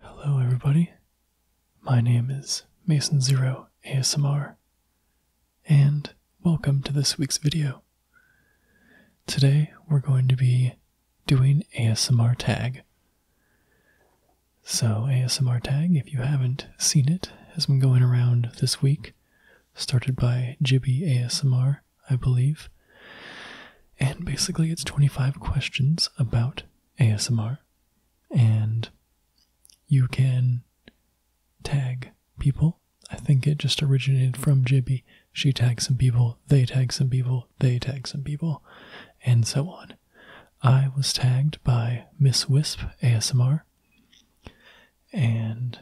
Hello, everybody. My name is Mason Zero ASMR, and welcome to this week's video. Today, we're going to be doing ASMR tag. So, ASMR Tag, if you haven't seen it, has been going around this week. Started by Jibby ASMR, I believe. And basically, it's 25 questions about ASMR. And you can tag people. I think it just originated from Jibby. She tags some people, they tag some people, they tag some people, and so on. I was tagged by Miss Wisp ASMR, and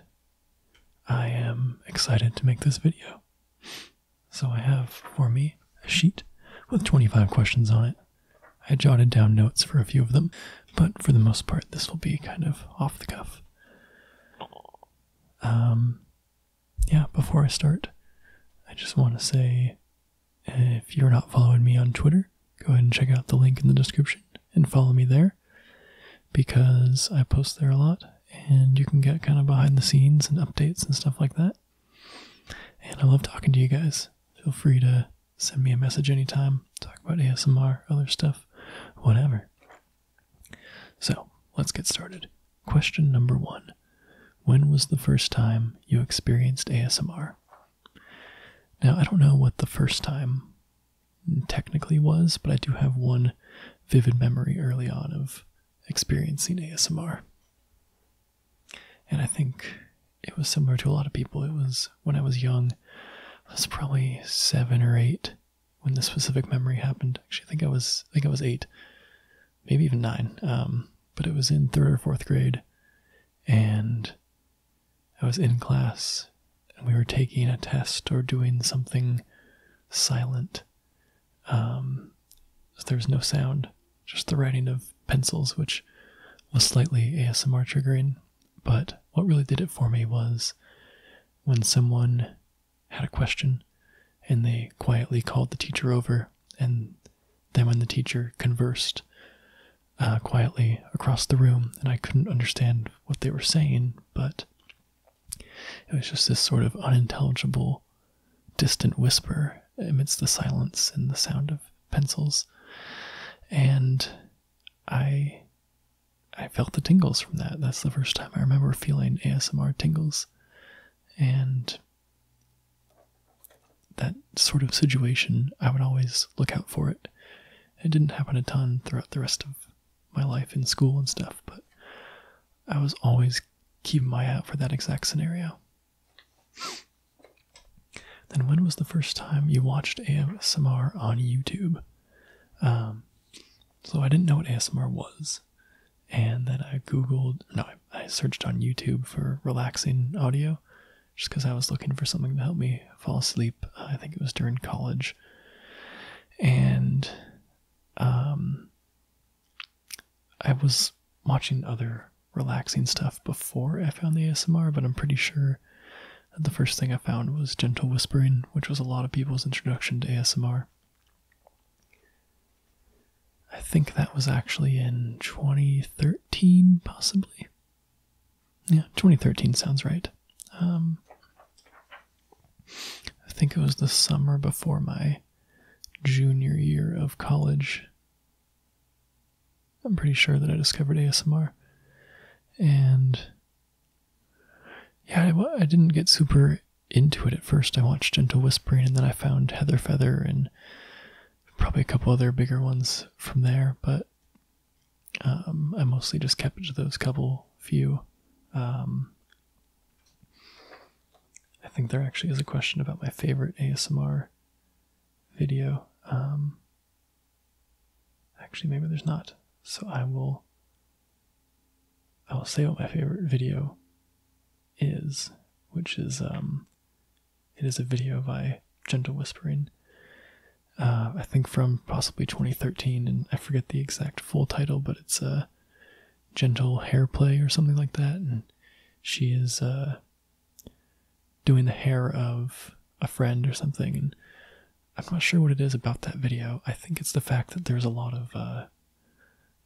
I am excited to make this video. So I have for me a sheet with 25 questions on it. I jotted down notes for a few of them, but for the most part, this will be kind of off the cuff. Um, yeah, before I start, I just want to say if you're not following me on Twitter, go ahead and check out the link in the description and follow me there because I post there a lot and you can get kind of behind the scenes and updates and stuff like that. And I love talking to you guys. Feel free to send me a message anytime, talk about ASMR, other stuff, whatever. So let's get started. Question number one When was the first time you experienced ASMR? Now, I don't know what the first time technically was, but I do have one vivid memory early on of experiencing ASMR. And I think it was similar to a lot of people. It was when I was young, I was probably seven or eight when this specific memory happened. Actually, I think I was, I think I was eight, maybe even nine. Um, but it was in third or fourth grade, and I was in class and we were taking a test or doing something silent. Um, there was no sound, just the writing of pencils, which was slightly ASMR triggering. But what really did it for me was when someone had a question and they quietly called the teacher over, and then when the teacher conversed uh, quietly across the room, and I couldn't understand what they were saying, but it was just this sort of unintelligible, distant whisper amidst the silence and the sound of pencils. And I I felt the tingles from that. That's the first time I remember feeling ASMR tingles. And that sort of situation, I would always look out for it. It didn't happen a ton throughout the rest of my life in school and stuff, but I was always keeping my eye out for that exact scenario. Then, when was the first time you watched ASMR on YouTube? Um, so, I didn't know what ASMR was. And then I Googled, no, I searched on YouTube for relaxing audio just because I was looking for something to help me fall asleep. I think it was during college. And um, I was watching other relaxing stuff before I found the ASMR, but I'm pretty sure the first thing I found was gentle whispering, which was a lot of people's introduction to ASMR. I think that was actually in 2013, possibly. Yeah, 2013 sounds right. Um, I think it was the summer before my junior year of college. I'm pretty sure that I discovered ASMR. And yeah, I, I didn't get super into it at first. I watched Gentle Whispering and then I found Heather Feather and probably a couple other bigger ones from there. But um, I mostly just kept to those couple few. Um, I think there actually is a question about my favorite ASMR video. Um, actually, maybe there's not. So I will. I will say what my favorite video is, which is it is a video by Gentle Whispering, uh, I think from possibly 2013, and I forget the exact full title, but it's a uh, Gentle Hair Play or something like that. And she is uh, doing the hair of a friend or something. And I'm not sure what it is about that video. I think it's the fact that there's a lot of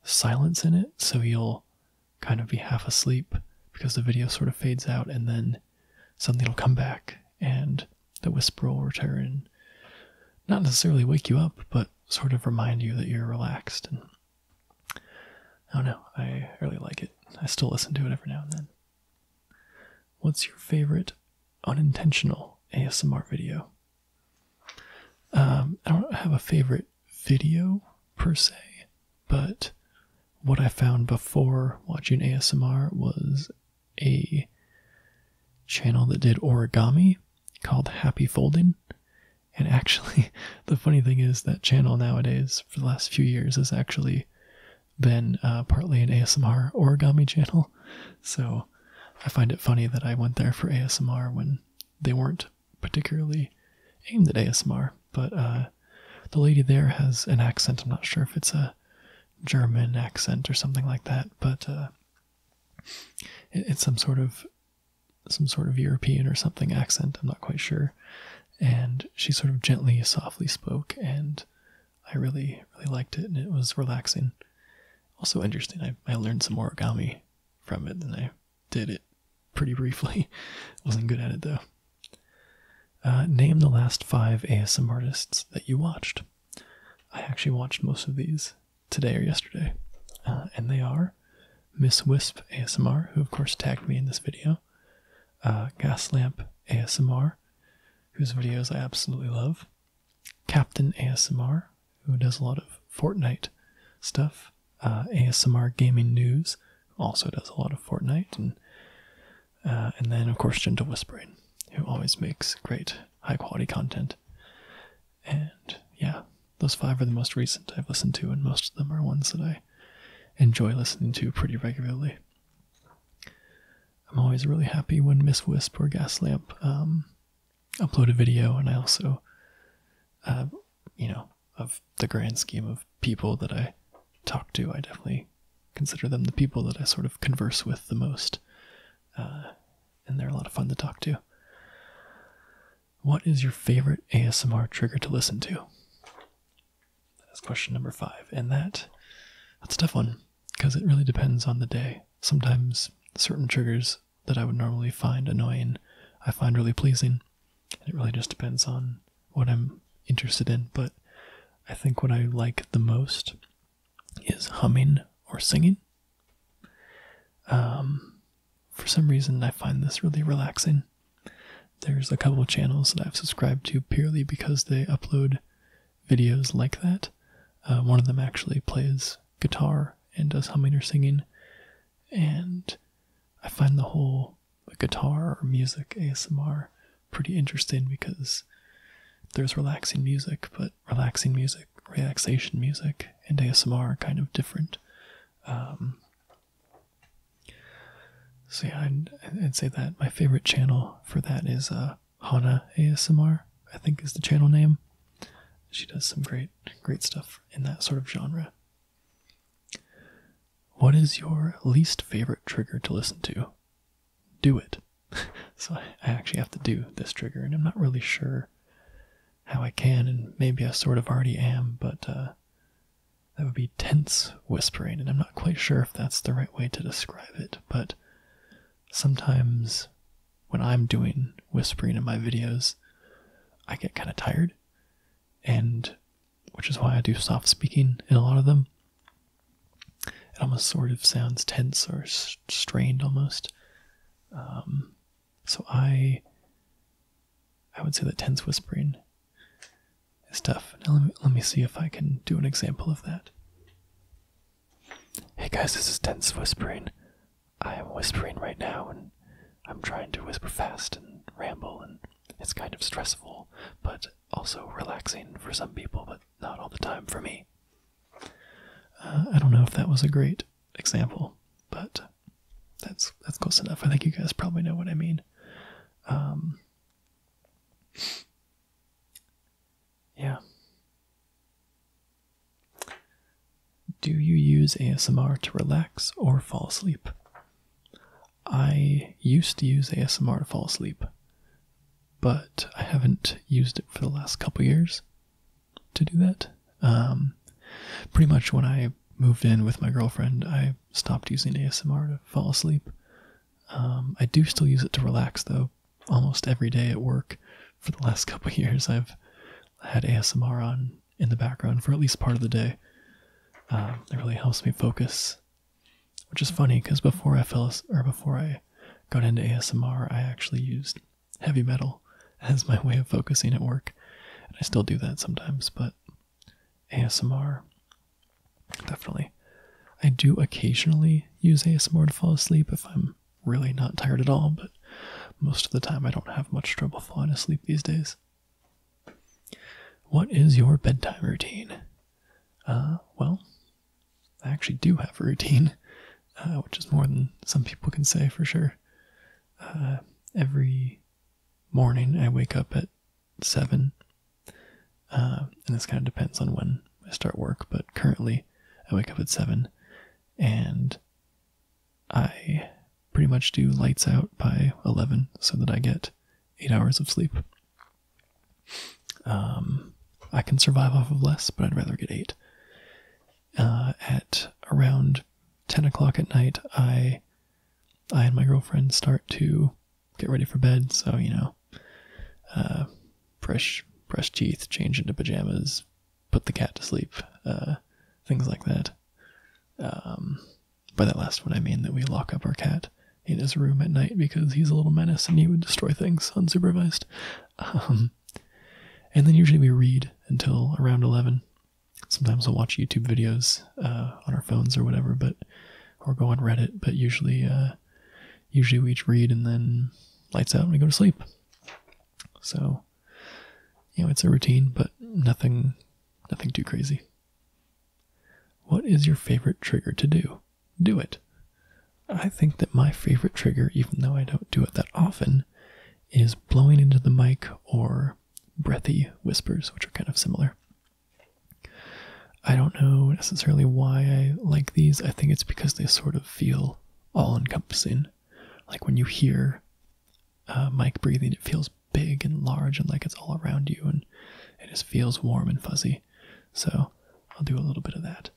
silence in it, so you'll kind of be half asleep because the video sort of fades out and then suddenly it'll come back and the whisper will return. Not necessarily wake you up, but sort of remind you that you're relaxed. And I don't know, I really like it. I still listen to it every now and then. What's your favorite unintentional ASMR video? Um, I don't have a favorite video per se, but what I found before watching ASMR was a channel that did origami called Happy Folding. And actually, the funny thing is that channel nowadays, for the last few years, has actually been uh, partly an ASMR origami channel. So I find it funny that I went there for ASMR when they weren't particularly aimed at ASMR. But uh, the lady there has an accent. I'm not sure if it's a German accent or something like that, but uh, it's some sort of some sort of European or something accent. I'm not quite sure. And she sort of gently, softly spoke, and I really, really liked it, and it was relaxing. Also interesting. I, I learned some origami from it, and I did it pretty briefly. wasn't good at it though. Uh, name the last five ASM artists that you watched. I actually watched most of these today or yesterday, uh, and they are Miss Wisp ASMR, who of course tagged me in this video, uh, Gaslamp ASMR, whose videos I absolutely love, Captain ASMR, who does a lot of Fortnite stuff, uh, ASMR Gaming News, also does a lot of Fortnite and uh, and then, of course, Gentle Whispering, who always makes great, high quality content. And yeah, those five are the most recent I've listened to, and most of them are ones that I enjoy listening to pretty regularly. I'm always really happy when Miss Wisp or Gaslamp um, upload a video, and I also, uh, you know, of the grand scheme of people that I talk to, I definitely consider them the people that I sort of converse with the most. Uh, and they're a lot of fun to talk to. What is your favorite ASMR trigger to listen to? That's question number five. And that that's a tough one because it really depends on the day. Sometimes certain triggers that I would normally find annoying, I find really pleasing. And it really just depends on what I'm interested in. But I think what I like the most is humming or singing. Um, for some reason, I find this really relaxing. There's a couple of channels that I've subscribed to purely because they upload videos like that. Uh, one of them actually plays guitar and does humming or singing, and I find the whole guitar or music ASMR pretty interesting because there's relaxing music, but relaxing music, relaxation music, and ASMR are kind of different. Um, so yeah, I'd, say that my favorite channel for that is uh, Hana ASMR. I think is the channel name. She does some great, great stuff in that sort of genre. What is your least favorite trigger to listen to? do it. so I actually have to do this trigger, and I'm not really sure how I can, and maybe I sort of already am, but uh, that would be tense whispering, and I'm not quite sure if that's the right way to describe it, but sometimes when I'm doing whispering in my videos, I get kind of tired, and which is why I do soft speaking in a lot of them it almost sort of sounds tense or strained almost. Um, so I, I would say that tense whispering is tough. Now let me see if I can do an example of that. Hey guys, this is tense whispering. I am whispering right now, and I'm trying to whisper fast and ramble, and it's kind of stressful, but also relaxing for some people. But not all the time for me. Uh, I don't know if that was a great example, but that's that's close enough. I think you guys probably know what I mean. Um, yeah. Do you use ASMR to relax or fall asleep? I used to use ASMR to fall asleep but I haven't used it for the last couple years to do that. Um, pretty much when I moved in with my girlfriend, I stopped using ASMR to fall asleep. Um, I do still use it to relax though. Almost every day at work for the last couple years, I've had ASMR on in the background for at least part of the day. Uh, it really helps me focus which is funny because before I fell or before I got into ASMR, I actually used heavy metal as my way of focusing at work. And I still do that sometimes, but ASMR definitely. I do occasionally use ASMR to fall asleep if I'm really not tired at all, but most of the time I don't have much trouble falling asleep these days. What is your bedtime routine? Uh, well, I actually do have a routine, uh, which is more than some people can say for sure. Uh, every morning I wake up at 7, uh, and this kind of depends on when I start work, but currently I wake up at 7 and I pretty much do lights out by 11 so that I get 8 hours of sleep. Um, I can survive off of less, but I'd rather get eight. Uh, at around 10 o'clock at night, I, I and my girlfriend start to get ready for bed. So, you know, uh, brush, brush teeth, change into pajamas, put the cat to sleep, uh, things like that. Um, by that last one, I mean that we lock up our cat in his room at night because he's a little menace and he would destroy things unsupervised. Um, and then usually we read until around 11. Sometimes we'll watch YouTube videos uh, on our phones or whatever, but or go on Reddit. But usually, uh, usually we each read and then lights out and we go to sleep. So, you know, it's a routine, but nothing, nothing too crazy. What is your favorite trigger to do? do it. I think that my favorite trigger, even though I don't do it that often, is blowing into the mic or breathy whispers, which are kind of similar. I don't know necessarily why I like these. I think it's because they sort of feel all encompassing. Like when you hear mic breathing, it feels big and large and like it's all around you and it just feels warm and fuzzy. So I'll do a little bit of that.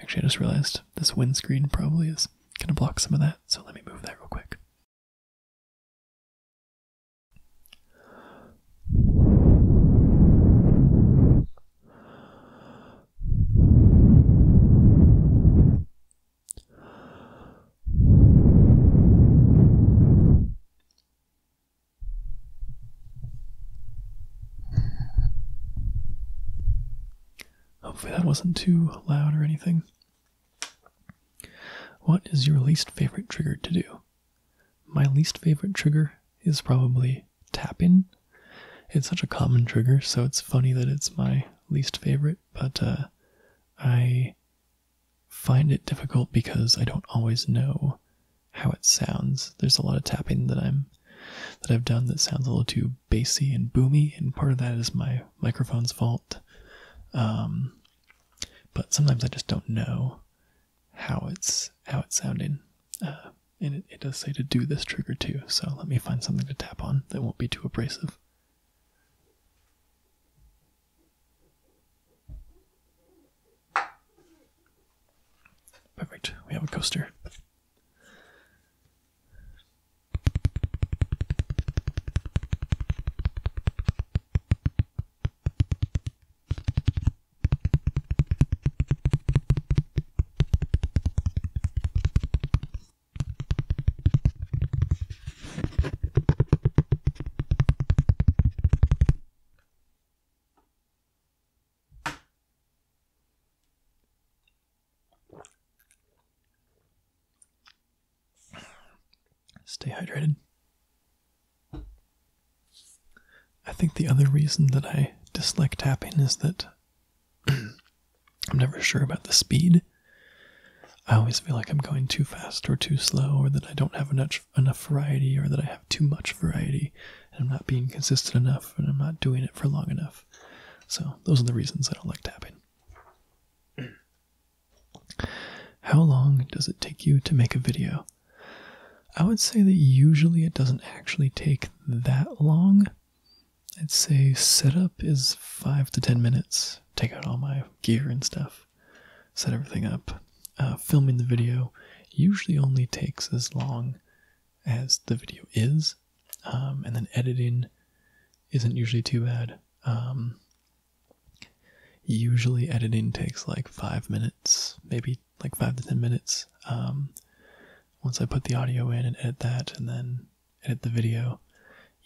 Actually, I just realized this windscreen probably is going to block some of that, so let me move that real quick. Hopefully that wasn't too loud or anything. What is your least favorite trigger to do? My least favorite trigger is probably tapping. It's such a common trigger, so it's funny that it's my least favorite, but uh, I find it difficult because I don't always know how it sounds. There's a lot of tapping that I'm that I've done that sounds a little too bassy and boomy, and part of that is my microphone's fault. Um, but sometimes I just don't know how it's how it's sounding. Uh, and it, it does say to do this trigger too, so let me find something to tap on that won't be too abrasive. Perfect. We have a coaster. Stay hydrated. I think the other reason that I dislike tapping is that I'm never sure about the speed. I always feel like I'm going too fast or too slow, or that I don't have enough enough variety or that I have too much variety and I'm not being consistent enough and I'm not doing it for long enough. So those are the reasons I don't like tapping. How long does it take you to make a video? I would say that usually it doesn't actually take that long. I'd say setup is 5 to 10 minutes. Take out all my gear and stuff set everything up. Uh, filming the video usually only takes as long as the video is, um, and then editing isn't usually too bad. Um, usually editing takes like five minutes, maybe like five to ten minutes. Um, once I put the audio in and edit that, and then edit the video.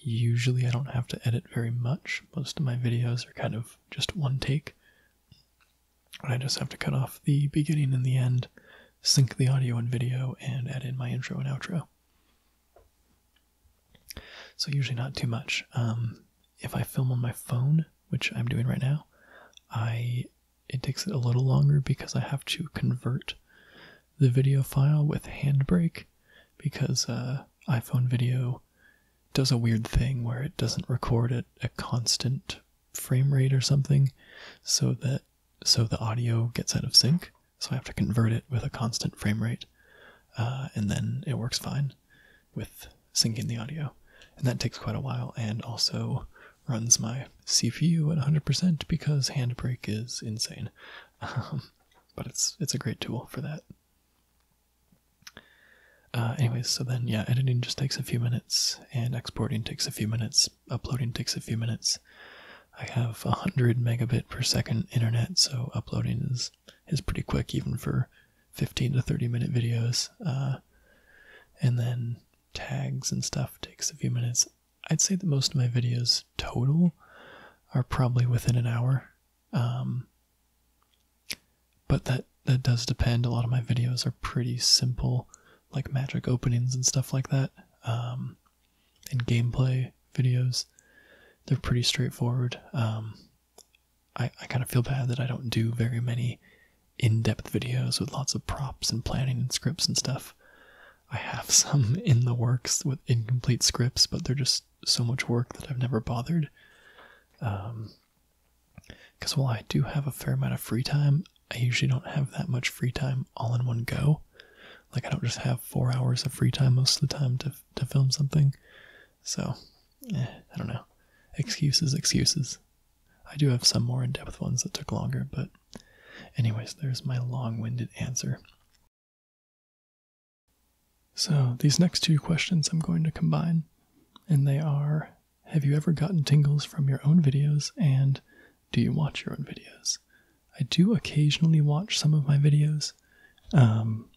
Usually, I don't have to edit very much. Most of my videos are kind of just one take. I just have to cut off the beginning and the end, sync the audio and video, and add in my intro and outro. So, usually not too much. Um, if I film on my phone, which I'm doing right now, I it takes it a little longer because I have to convert the video file with Handbrake because uh, iPhone video does a weird thing where it doesn't record at a constant frame rate or something so that so the audio gets out of sync so i have to convert it with a constant frame rate uh, and then it works fine with syncing the audio and that takes quite a while and also runs my cpu at 100% because handbrake is insane um, but it's it's a great tool for that uh, anyways, so then yeah, editing just takes a few minutes, and exporting takes a few minutes, uploading takes a few minutes. I have 100 megabit per second internet, so uploading is is pretty quick even for 15 to 30 minute videos. Uh, and then tags and stuff takes a few minutes. I'd say that most of my videos total are probably within an hour. Um, but that that does depend. A lot of my videos are pretty simple, like magic openings and stuff like that. In um, gameplay videos, they're pretty straightforward. Um, I I kind of feel bad that I don't do very many in-depth videos with lots of props and planning and scripts and stuff. I have some in the works with incomplete scripts, but they're just so much work that I've never bothered. Um, because while I do have a fair amount of free time, I usually don't have that much free time all in one go. Like, I don't just have four hours of free time most of the time to, to film something. So, eh, I don't know. Excuses, excuses. I do have some more in depth ones that took longer, but, anyways, there's my long winded answer. So, these next two questions I'm going to combine, and they are have you ever gotten tingles from your own videos and do you watch your own videos? I do occasionally watch some of my videos. Um,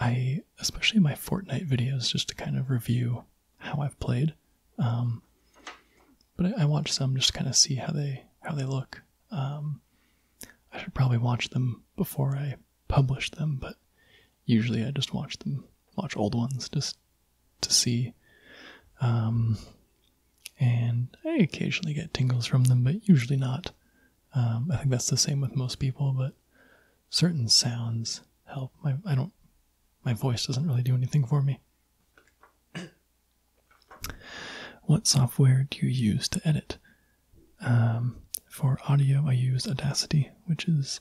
I, especially my Fortnite videos, just to kind of review how I've played. Um, but I, I watch some just to kind of see how they how they look. Um, I should probably watch them before I publish them, but usually I just watch them, watch old ones just to see. Um, and I occasionally get tingles from them, but usually not. Um, I think that's the same with most people, but certain sounds help. My I don't my voice doesn't really do anything for me. what software do you use to edit? Um, for audio, I use Audacity, which is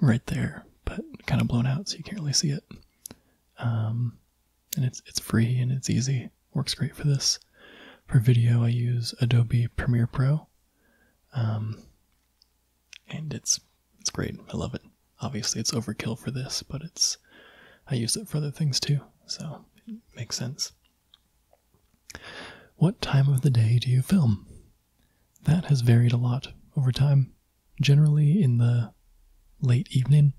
right there, but kind of blown out, so you can't really see it. Um, and it's it's free and it's easy. Works great for this. For video, I use Adobe Premiere Pro, um, and it's it's great. I love it. Obviously, it's overkill for this, but it's I use it for other things too, so it makes sense. What time of the day do you film? That has varied a lot over time, generally in the late evening.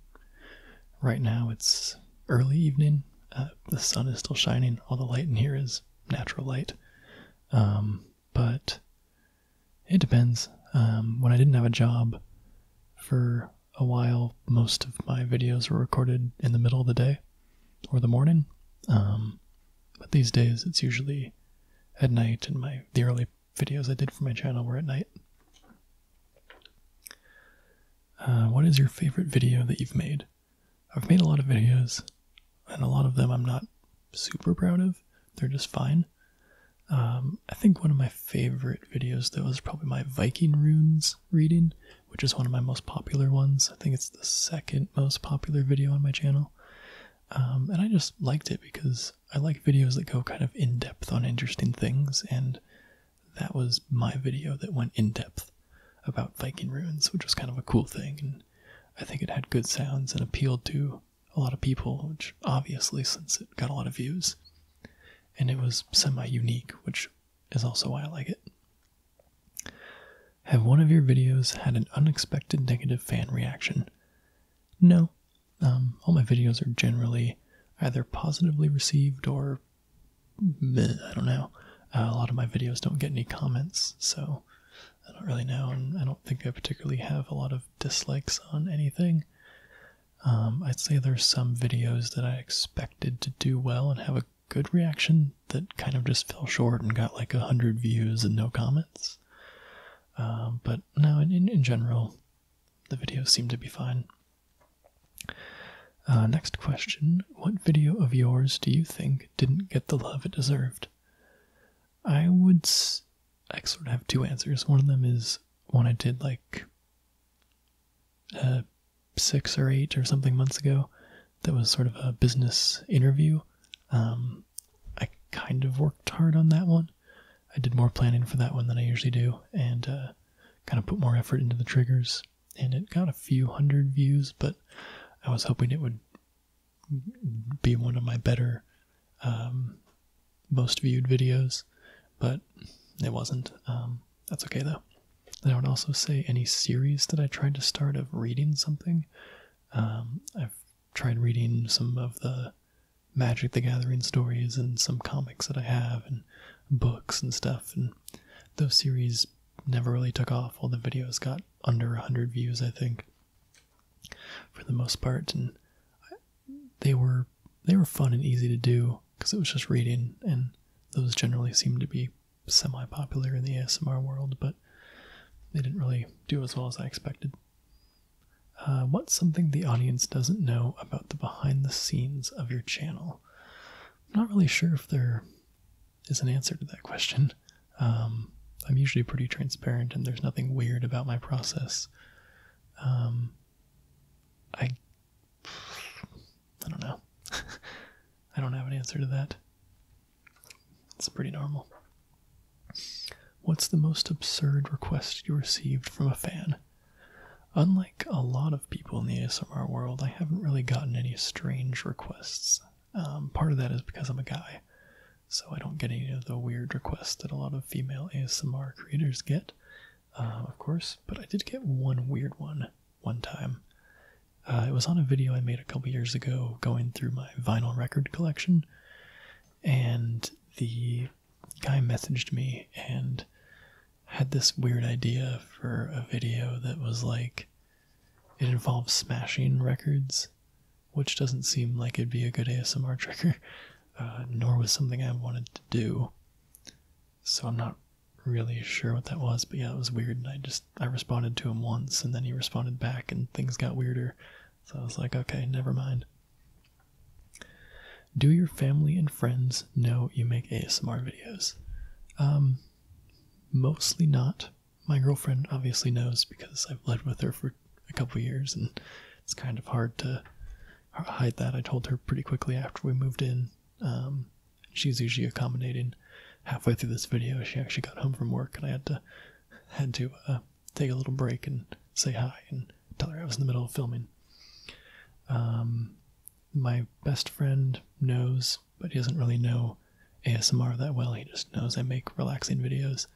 Right now it's early evening. Uh, the sun is still shining. All the light in here is natural light. Um, but it depends. Um, when I didn't have a job for a while, most of my videos were recorded in the middle of the day or the morning. Um, but these days it's usually at night, and my the early videos I did for my channel were at night. Uh, what is your favorite video that you've made? I've made a lot of videos, and a lot of them I'm not super proud of. They're just fine. Um, I think one of my favorite videos, though, is probably my Viking runes reading, which is one of my most popular ones. I think it's the second most popular video on my channel. Um, and I just liked it because I like videos that go kind of in depth on interesting things, and that was my video that went in depth about Viking ruins, which was kind of a cool thing. And I think it had good sounds and appealed to a lot of people, which obviously, since it got a lot of views, and it was semi unique, which is also why I like it. Have one of your videos had an unexpected negative fan reaction? No. Um, all my videos are generally either positively received or I don't know. Uh, a lot of my videos don't get any comments, so I don't really know, and I don't think I particularly have a lot of dislikes on anything. Um, I'd say there's some videos that I expected to do well and have a good reaction that kind of just fell short and got like a hundred views and no comments. Um, but now, in, general, the videos seem to be fine. Uh, next question What video of yours do you think didn't get the love it deserved? I would. S I sort of have two answers. One of them is one I did like uh, six or eight or something months ago that was sort of a business interview. Um, I kind of worked hard on that one. I did more planning for that one than I usually do, and uh, kind of put more effort into the triggers. And it got a few hundred views, but I was hoping it would be one of my better, um, most viewed videos, but it wasn't. Um, that's okay though. And I would also say any series that I tried to start of reading something, um, I've tried reading some of the Magic the Gathering stories and some comics that I have and books and stuff. And those series never really took off. All the videos got under 100 views, I think, for the most part. And they were they were fun and easy to do because it was just reading, and those generally seemed to be semi-popular in the ASMR world, but they didn't really do as well as I expected. Uh, what's something the audience doesn't know about the behind the scenes of your channel? I'm not really sure if there is an answer to that question. Um, I'm usually pretty transparent and there's nothing weird about my process. Um, I, I don't know. I don't have an answer to that. It's pretty normal. What's the most absurd request you received from a fan? Unlike a lot of people in the ASMR world, I haven't really gotten any strange requests. Um, part of that is because I'm a guy, so I don't get any of the weird requests that a lot of female ASMR creators get, uh, of course, but I did get one weird one one time. Uh, it was on a video I made a couple years ago going through my vinyl record collection, and the guy messaged me and had this weird idea for a video that was like it involves smashing records, which doesn't seem like it'd be a good ASMR trigger, uh, nor was something I wanted to do. So I'm not really sure what that was, but yeah, it was weird. And I just I responded to him once, and then he responded back, and things got weirder. So I was like, okay, never mind. Do your family and friends know you make ASMR videos? Um, mostly not. My girlfriend obviously knows because I've lived with her for a couple years and it's kind of hard to hide that. I told her pretty quickly after we moved in. Um, she's usually accommodating. Halfway through this video, she actually got home from work and I had to had to uh, take a little break and say hi and tell her I was in the middle of filming. Um, my best friend knows, but he doesn't really know ASMR that well. He just knows I make relaxing videos.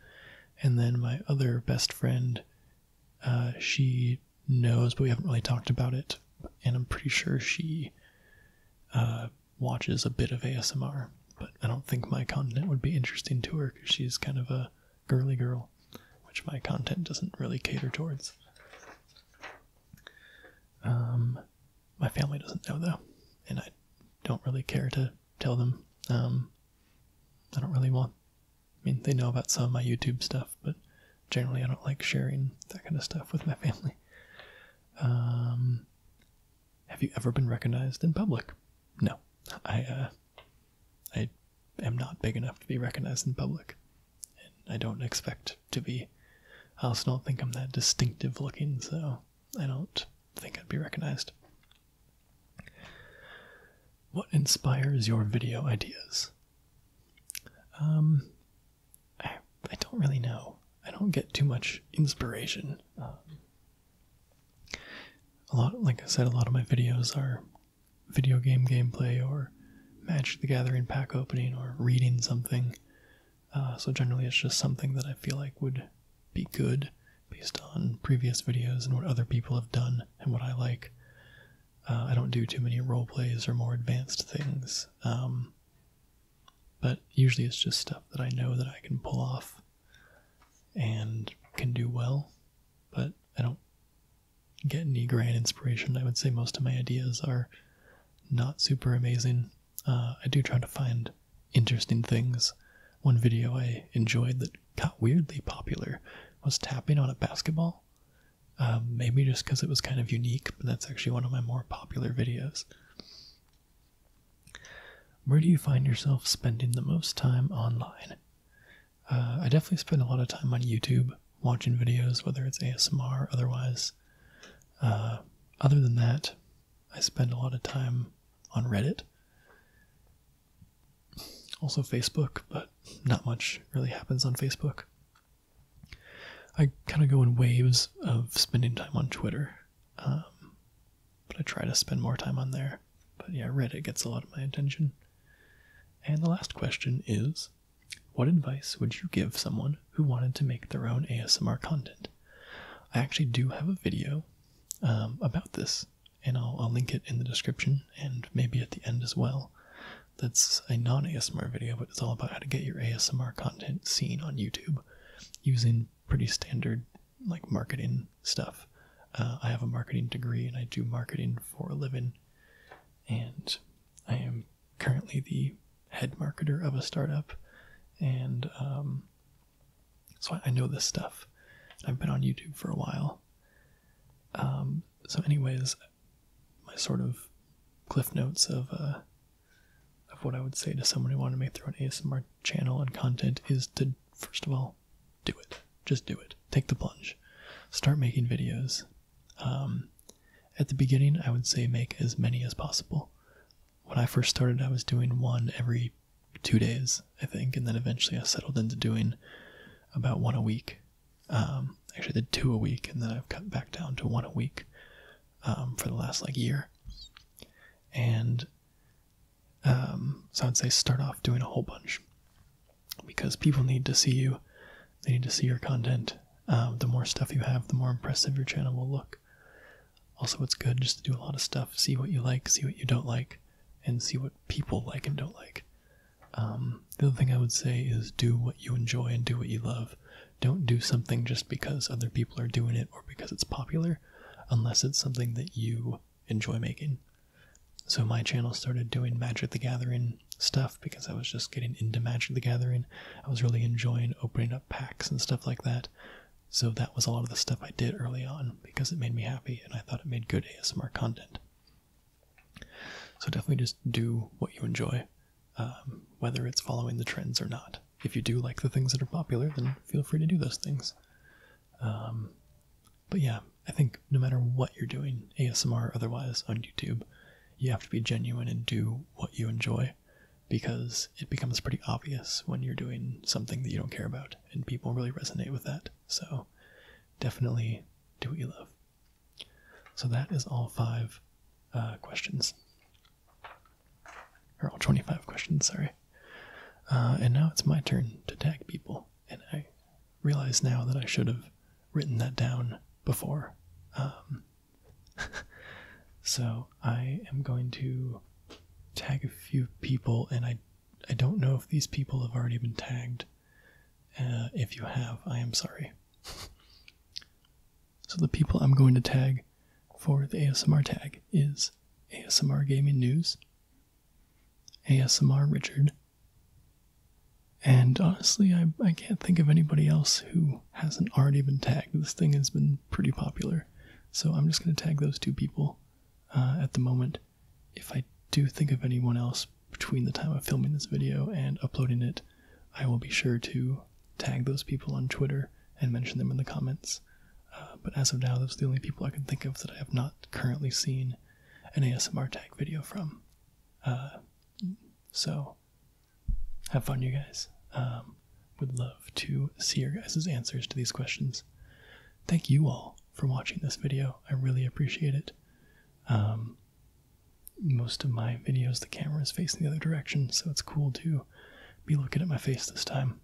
And then my other best friend, uh, she knows, but we haven't really talked about it. And I'm pretty sure she uh, watches a bit of ASMR but I don't think my content would be interesting to her because she's kind of a girly girl, which my content doesn't really cater towards. Um, my family doesn't know though, and I don't really care to tell them. Um, I don't really want. I mean, they know about some of my YouTube stuff, but generally I don't like sharing that kind of stuff with my family. Um, have you ever been recognized in public? No, I, uh, I am not big enough to be recognized in public, and I don't expect to be. I also don't think I'm that distinctive looking, so I don't think I'd be recognized. What inspires your video ideas? Um, I, I don't really know. I don't get too much inspiration. Um, a lot like I said a lot of my videos are video game gameplay or Magic the Gathering pack opening or reading something uh, so generally it's just something that I feel like would be good based on previous videos and what other people have done and what I like uh, I don't do too many role plays or more advanced things um, but usually it's just stuff that I know that I can pull off and can do well, but I don't get any grand inspiration. I would say most of my ideas are not super amazing. Uh, I do try to find interesting things. One video I enjoyed that got weirdly popular was tapping on a basketball. Um, maybe just because it was kind of unique, but that's actually one of my more popular videos. Where do you find yourself spending the most time online? Uh, I definitely spend a lot of time on YouTube watching videos, whether it's ASMR or otherwise. Uh, other than that, I spend a lot of time on Reddit. Also Facebook, but not much really happens on Facebook. I kind of go in waves of spending time on Twitter. Um, but I try to spend more time on there. But yeah, Reddit gets a lot of my attention. And the last question is What advice would you give someone who wanted to make their own ASMR content? I actually do have a video um, about this, and I'll link it in the description and maybe at the end as well. That's a non ASMR video, but it's all about how to get your ASMR content seen on YouTube using pretty standard like marketing stuff. Uh, I have a marketing degree and I do marketing for a living. And I am currently the head marketer of a startup. And um, so I know this stuff. I've been on YouTube for a while. Um, so, anyways, my sort of cliff notes of uh, of what I would say to someone who wanted to make their own ASMR channel and content is to first of all do it. Just do it. Take the plunge. Start making videos. Um, at the beginning, I would say make as many as possible. When I first started, I was doing one every two days, I think, and then eventually I settled into doing about one a week. Um, actually, did two a week, and then I've cut back down to one a week um, for the last like year. And um, so I would say start off doing a whole bunch because people need to see you, they need to see your content. Um, the more stuff you have, the more impressive your channel will look. Also, it's good just to do a lot of stuff, see what you like, see what you don't like, and see what people like and don't like. Um, the other thing I would say is do what you enjoy and do what you love. Don't do something just because other people are doing it or because it's popular, unless it's something that you enjoy making. So my channel started doing Magic the Gathering stuff because I was just getting into Magic the Gathering. I was really enjoying opening up packs and stuff like that. So that was a lot of the stuff I did early on because it made me happy and I thought it made good ASMR content. So definitely just do what you enjoy, um, whether it's following the trends or not. If you do like the things that are popular, then feel free to do those things. Um, but yeah, I think no matter what you're doing, ASMR otherwise on YouTube, you have to be genuine and do what you enjoy because it becomes pretty obvious when you're doing something that you don't care about, and people really resonate with that. So definitely do what you love. So that is all five uh, questions. Or all 25 questions, sorry. Uh, and now it's my turn to tag people and I realize now that I should have written that down before. Um, so I am going to tag a few people, and I I don't know if these people have already been tagged. Uh, if you have, I am sorry. so the people I'm going to tag for the ASMR tag is ASMR Gaming News, ASMR Richard. And honestly, I, I can't think of anybody else who hasn't already been tagged. This thing has been pretty popular. So I'm just going to tag those two people uh, at the moment. If I do think of anyone else between the time of filming this video and uploading it, I will be sure to tag those people on Twitter and mention them in the comments. Uh, but as of now, those are the only people I can think of that I have not currently seen an ASMR tag video from. Uh, so have fun, you guys. Um, would love to see your guys' answers to these questions. Thank you all for watching this video. I really appreciate it. Um, most of my videos, the camera is facing the other direction, so it's cool to be looking at my face this time.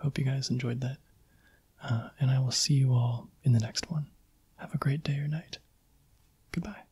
Hope you guys enjoyed that. Uh, and I will see you all in the next one. Have a great day or night. Goodbye.